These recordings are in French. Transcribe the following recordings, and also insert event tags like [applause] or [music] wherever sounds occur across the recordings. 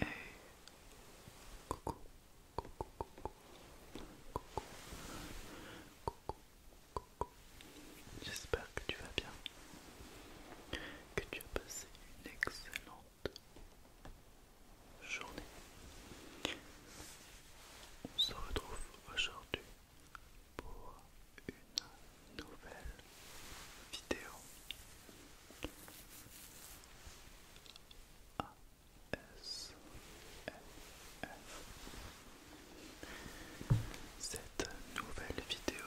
Et... Coucou. Coucou, coucou, coucou. Coucou. Coucou. J'espère que tu vas bien que tu as passé une excellente journée. On se retrouve aujourd'hui pour une nouvelle vidéo cette nouvelle vidéo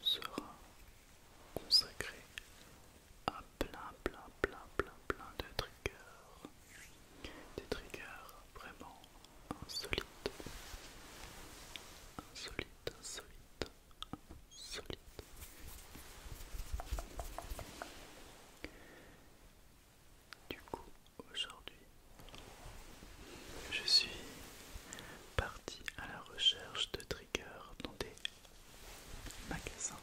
sera consacrée à plein plein plein plein plein de triggers des triggers vraiment insolites insolites insolites insolites du coup, aujourd'hui, je suis parti à la recherche de triggers dans des magasins.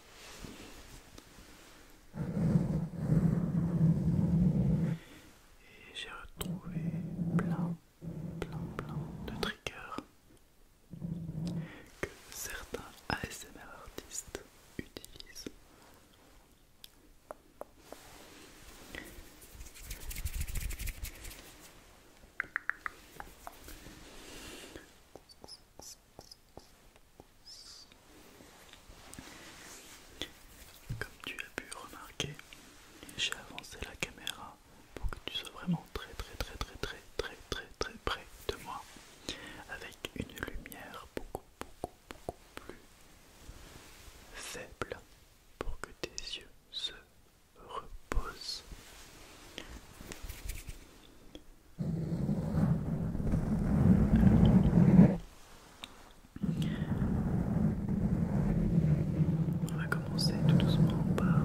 Et j'ai retrouvé plein, plein, plein de triggers que certains ASMR artistes utilisent comme tu as pu remarquer, j'ai avancé la caméra pour que tu sois vraiment très très très très très très très très près de moi avec une lumière beaucoup beaucoup, beaucoup, plus faible pour que tes yeux se reposent. On va commencer tout doucement par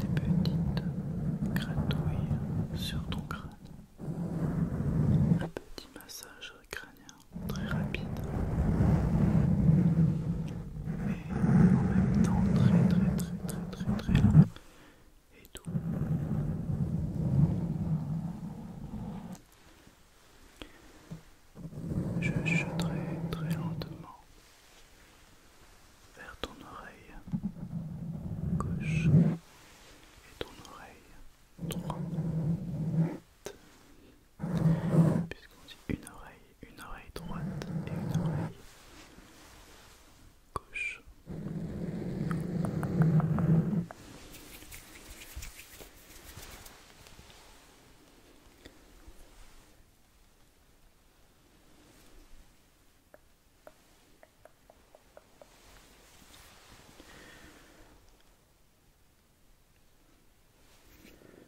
des petites gratouilles sur ton crâne. Un petit massage crânien très rapide mais en même temps très très très très très très lent et tout. Je jetterai très lentement vers ton oreille gauche et ton oreille droite. Puisqu'on dit une oreille, une oreille droite et une oreille gauche.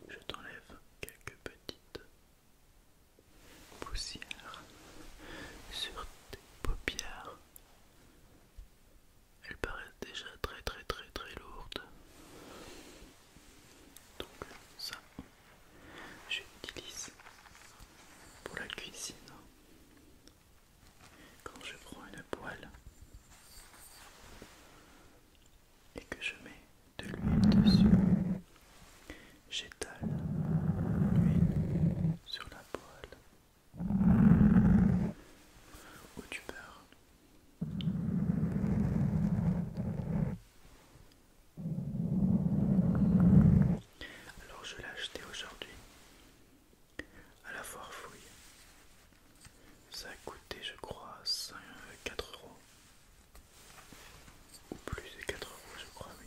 Je t'enlève quelques petites poussières sur tes paupières. Elles paraissent déjà très très très très lourdes. Donc ça, je l'utilise pour la cuisine. Quand je prends une poêle et que je mets de l'huile dessus, j'étale l'huile sur la poêle ou tu beurre. Alors je l'ai acheté aujourd'hui à la foire fouille. Ça a coûté, je crois, 5, 4 euros. Ou plus de 4 euros, je crois, oui.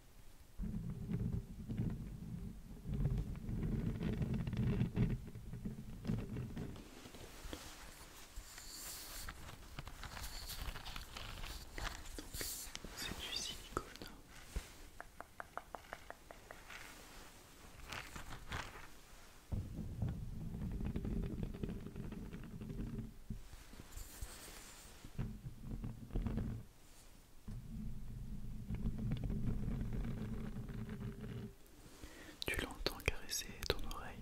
C'est du silicone. Tu l'entends caresser ton oreille.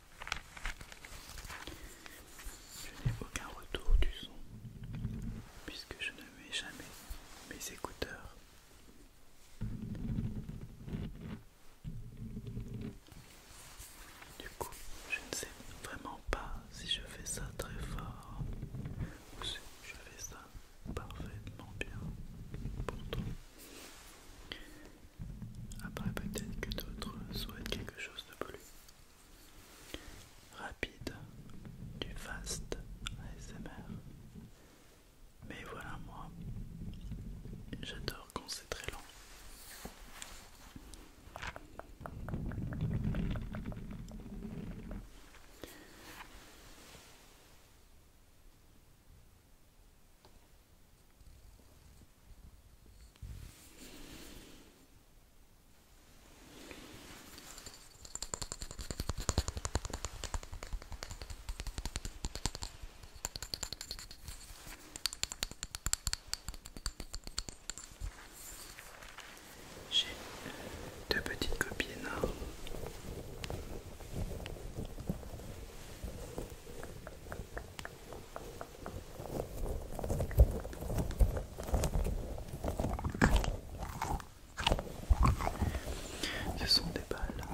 Je n'ai aucun retour du son puisque je ne mets jamais mes écouteurs. Du coup, je ne sais vraiment pas si je fais ça très fort ou si je fais ça parfaitement bien. Pourtant, après peut-être que d'autres souhaitent quelque chose de plus rapide du fast ASMR. Mais voilà moi, j'adore quand c'est très lent. J'ai euh, deux petites copines. Ce sont des balles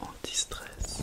en stress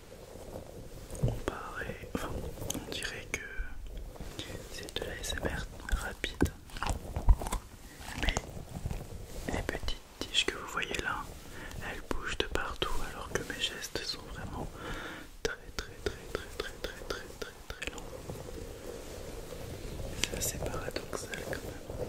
on dirait que c'est de la SMR rapide, mais les petites tiges que vous voyez là, elles bougent de partout, alors que mes gestes sont vraiment très très très très très très très très très longs. C'est assez paradoxal quand même.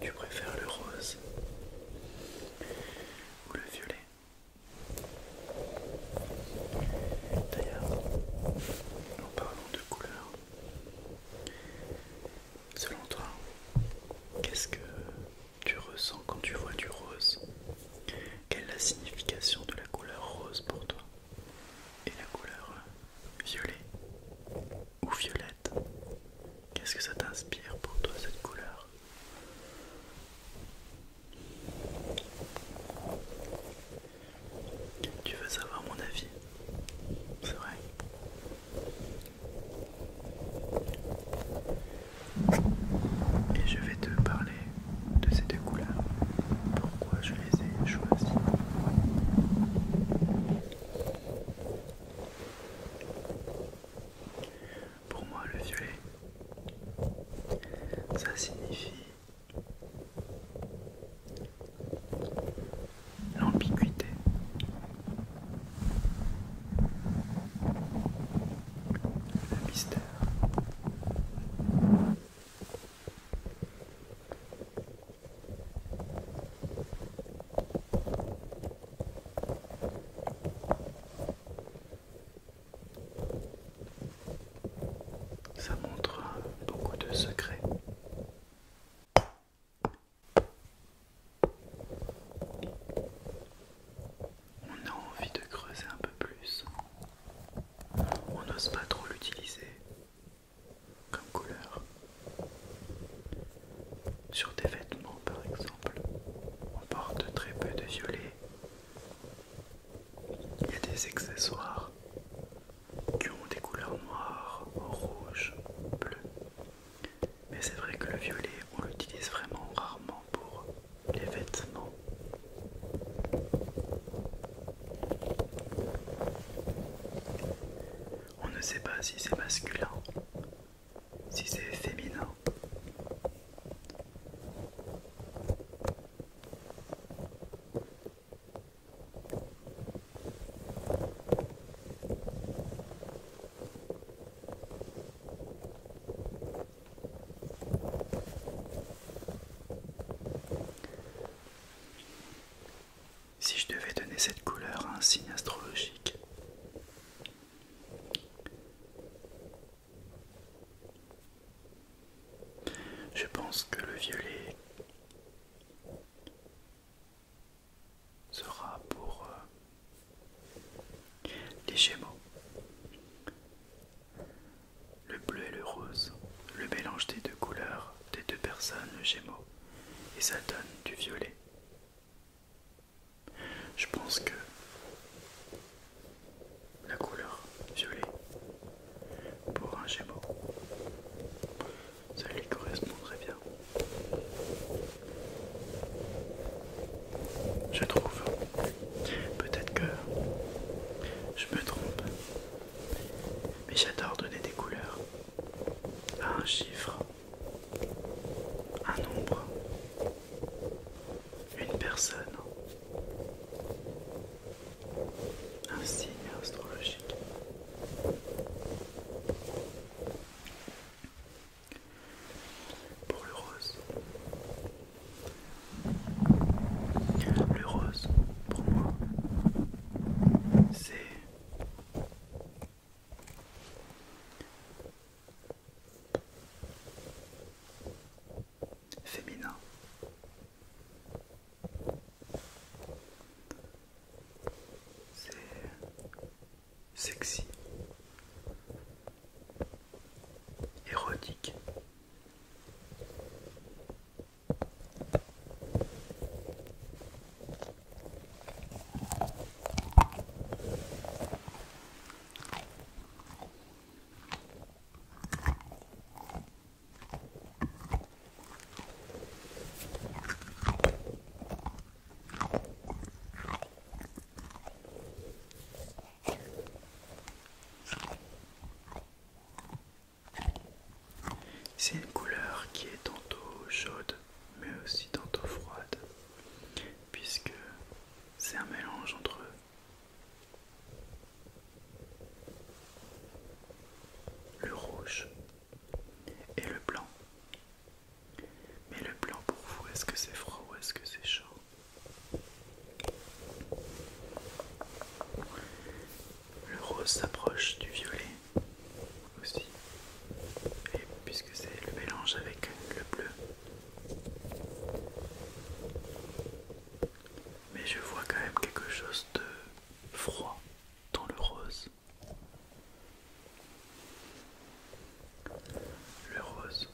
Tu préfères le rose ou le violet D'ailleurs, en parlons de couleurs, selon toi, qu'est-ce que tu ressens quand tu vois du rose Quelle est la signification de la couleur rose pour toi Et la couleur violet ou violette Qu'est-ce que ça t'inspire pour toi cette couleur tu veux savoir mon avis C'est vrai. Et je vais te parler de ces deux couleurs. Pourquoi je les ai choisies pour moi, le violet, ça signifie l'ambiguïté. Le mystère. Ça montre beaucoup de secrets. On a envie de creuser un peu plus. On n'ose pas trop l'utiliser comme couleur. Sur des vêtements par exemple, on porte très peu de violet il y a des accessoires qui ont des couleurs noires, rouge, bleu. Mais c'est vrai que le violet, on l'utilise vraiment rarement pour les vêtements. On ne sait pas si c'est masculin, si c'est féminin. Si je devais donner cette couleur à un signe astrologique, je pense que le violet sera pour euh, les Gémeaux. Le bleu et le rose, le mélange des deux couleurs des deux personnes, le Gémeaux, et ça donne du violet. Je pense que la couleur violet pour un gémeau, ça lui correspond très bien. Je trouve. Peut-être que je me trompe. Mais j'adore donner des couleurs à un chiffre, un nombre une personne. Un signe astrologique. Pour le rose. Le rose, pour moi, c'est Féminin. sexy. Érotique. C'est une couleur qui est tantôt chaude mais aussi tantôt froide puisque c'est un mélange entre le rouge et le blanc. Mais le blanc pour vous, est-ce que c'est froid ou est-ce que c'est chaud Le rose s'approche du violet aussi. Et puisque c'est le mélange avec le bleu, mais je vois quand même quelque chose de froid dans le rose. Le rose.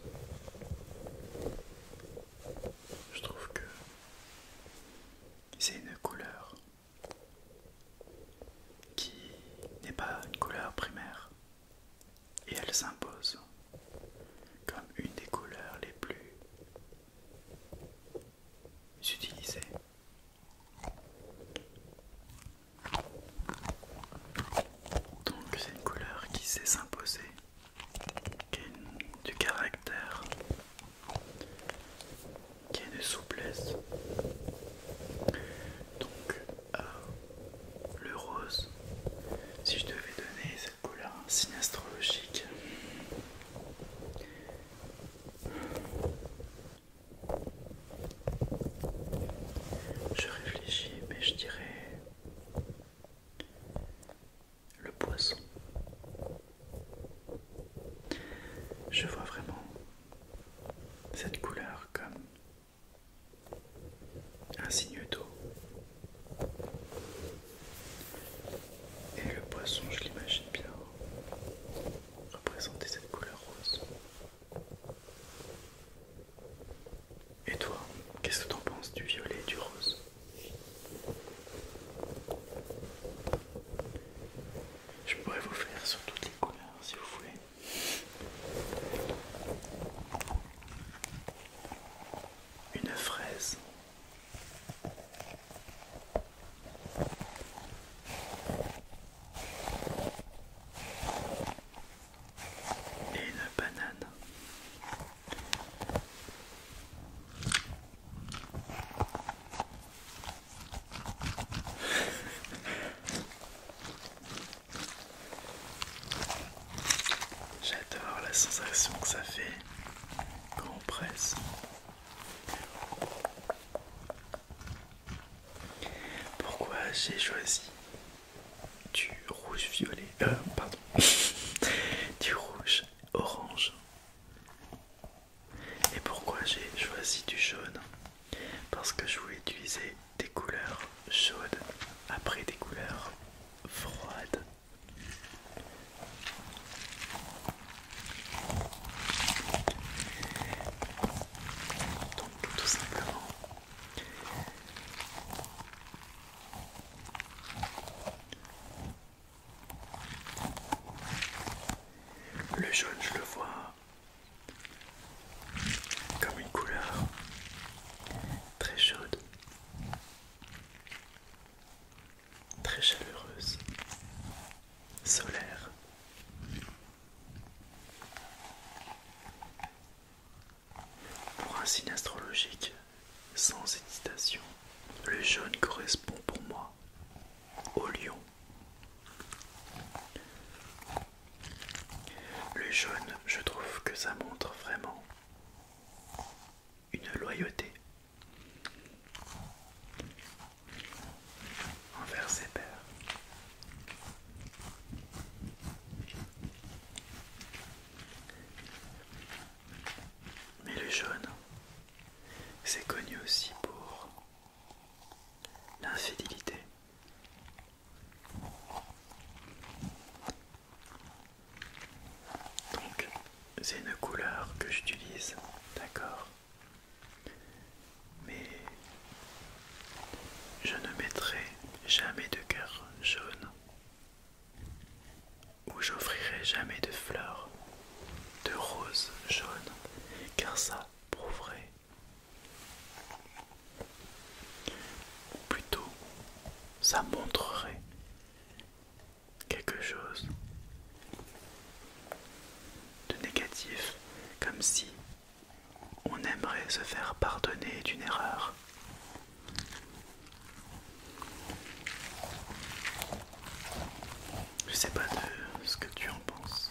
Je trouve que c'est une couleur qui n'est pas une couleur primaire et elle s'impose comme une des couleurs les plus utilisées. Donc c'est une couleur qui sait s'imposer, qui a du caractère, qui a une souplesse. Donc euh, le rose. Si je devais donner cette couleur un signe astrologique, je réfléchis, mais je dirais le poisson. Je vois vraiment cette couleur comme un signe d'eau. Et le poisson, je l'imagine bien représenter cette couleur rose. Et toi, qu'est-ce que en penses du violet et du rose Je pourrais vous faire sur toutes les couleurs si vous voulez une fraise. Et une banane. [laughs] J'adore la sensation que ça fait quand on presse. Pourquoi j'ai choisi du rouge violet, euh, pardon, [laughs] du rouge orange et pourquoi j'ai choisi du jaune parce que je voulais utiliser des couleurs chaudes après des couleurs froides. Donc tout simplement le jaune je le vois comme une couleur très chaude, très chaleureuse, solaire. Pour un signe astrologique, sans hésitation, le jaune correspond pour moi au lion. Le jaune, je trouve que ça montre vraiment une loyauté envers ses pères. Mais le jaune, c'est connu aussi pour l'infidélité. Donc c'est une couleur que j'utilise, d'accord Mais je ne mettrai jamais de cœur jaune ou j'offrirai jamais de fleurs de rose jaune car ça prouverait ou plutôt, ça montrerait quelque chose de négatif, comme si on aimerait se faire pardonner d'une erreur. Je sais pas de ce que tu en penses.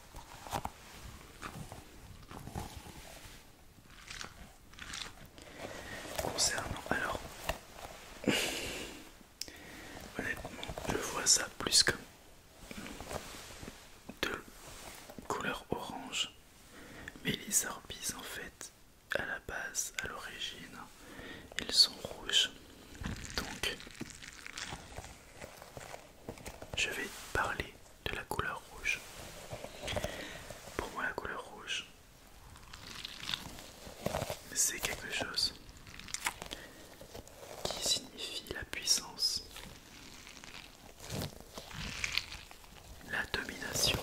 Concernant alors, [laughs] honnêtement, je vois ça plus comme de couleur orange, mais les arbises en fait, à la base, à l'origine, ils sont rouges, donc je vais parler de la couleur rouge. Pour moi, la couleur rouge, c'est quelque chose qui signifie la puissance, la domination.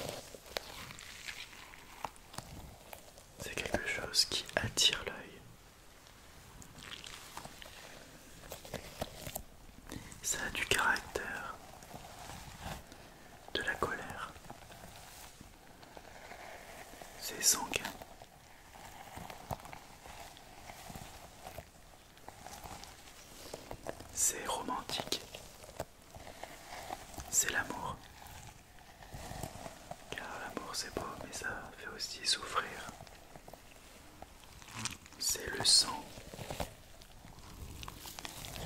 C'est quelque chose qui attire l'œil, ça a du caractère, de la colère. C'est sanguin. C'est romantique. C'est l'amour. Car l'amour c'est beau, mais ça fait aussi souffrir. C'est le sang.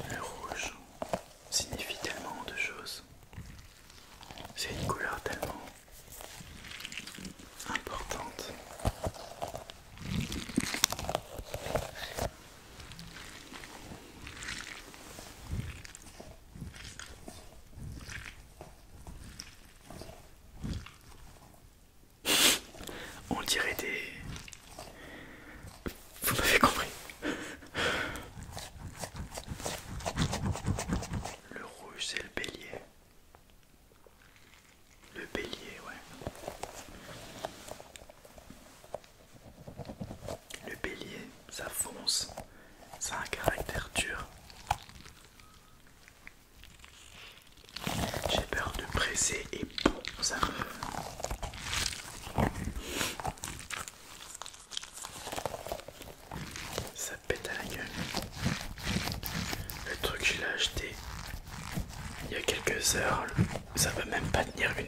Le rouge signifie tellement de choses. C'est une couleur tellement importante. On dirait des... Vous m'avez compris. Le rouge c'est le bélier. Le bélier, ouais. Le bélier, ça fonce. Ça a un caractère dur. J'ai peur de presser et bon, ça Ça pète à la gueule. Le truc, je l'ai acheté il y a quelques heures. Ça va même pas tenir une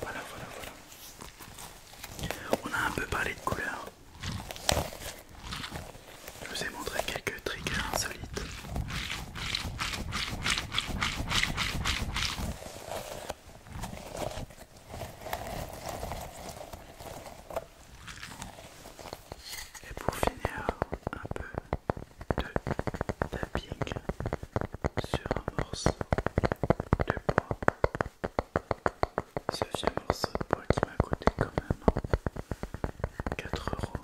Voilà, voilà, voilà. On a un peu parlé de couleurs. Je vous ai montré quelques triggers insolites. Et pour finir, un peu de tapping sur un morceau de bois. Ce un morceau de bois qui m'a coûté quand même 4 euros.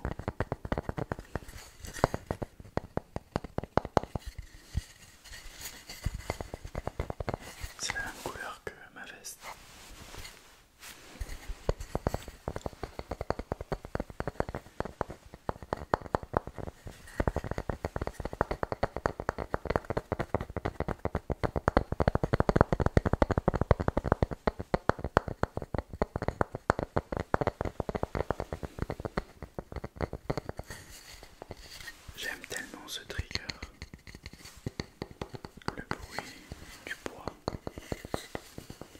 C'est la même couleur que ma veste. J'aime tellement ce trigger, le bruit du bois.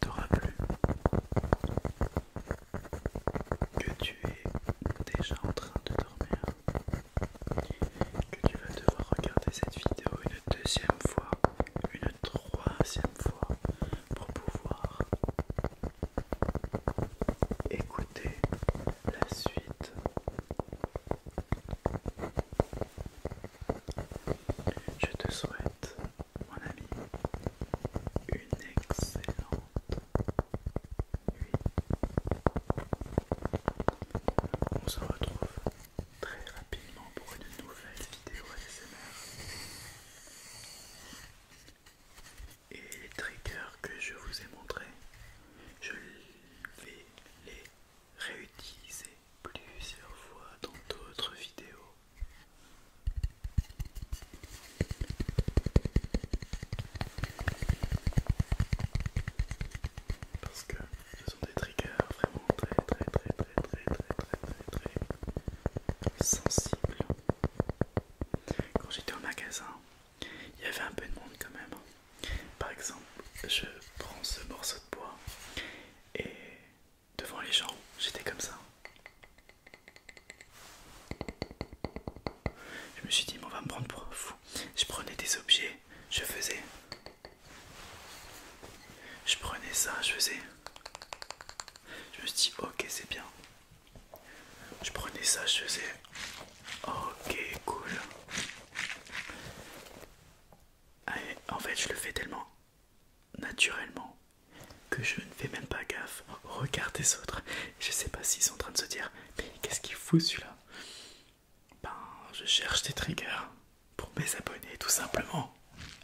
t'aura plus que tu es déjà en train de dormir, que tu vas devoir regarder cette vidéo une deuxième fois, une troisième fois pour pouvoir écouter la suite. Je te souhaite mon ami, une excellente nuit. On se retrouve très rapidement pour une nouvelle vidéo ASMR. Et les triggers que je vous ai montrés, je vais les réutiliser plusieurs fois dans d'autres vidéos parce que ce sont des triggers vraiment très très très très très très très très très sensibles. Quand j'étais au magasin, il y avait un peu de monde quand même. Par exemple, je prends ce morceau de bois et devant les gens, j'étais comme ça. Je me suis dit, mais on va me prendre pour fou. Je prenais des objets, je faisais. Je prenais ça, je faisais. Je me suis dit, ok, c'est bien. Je prenais ça, je faisais. Ok, cool. en fait, je le fais tellement naturellement que je ne fais même pas gaffe. Regarde les autres. Je sais pas s'ils sont en train de se dire Mais qu'est-ce qu'il fout celui-là Ben, je cherche des triggers pour mes abonnés, tout simplement.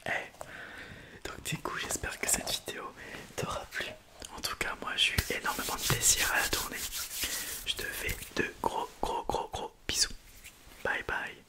et eh, Donc, du coup, j'espère que cette vidéo t'aura plu. En tout cas, moi, j'ai eu énormément de plaisir à la tourner. Je te fais de gros, gros, gros, gros bisous. Bye bye.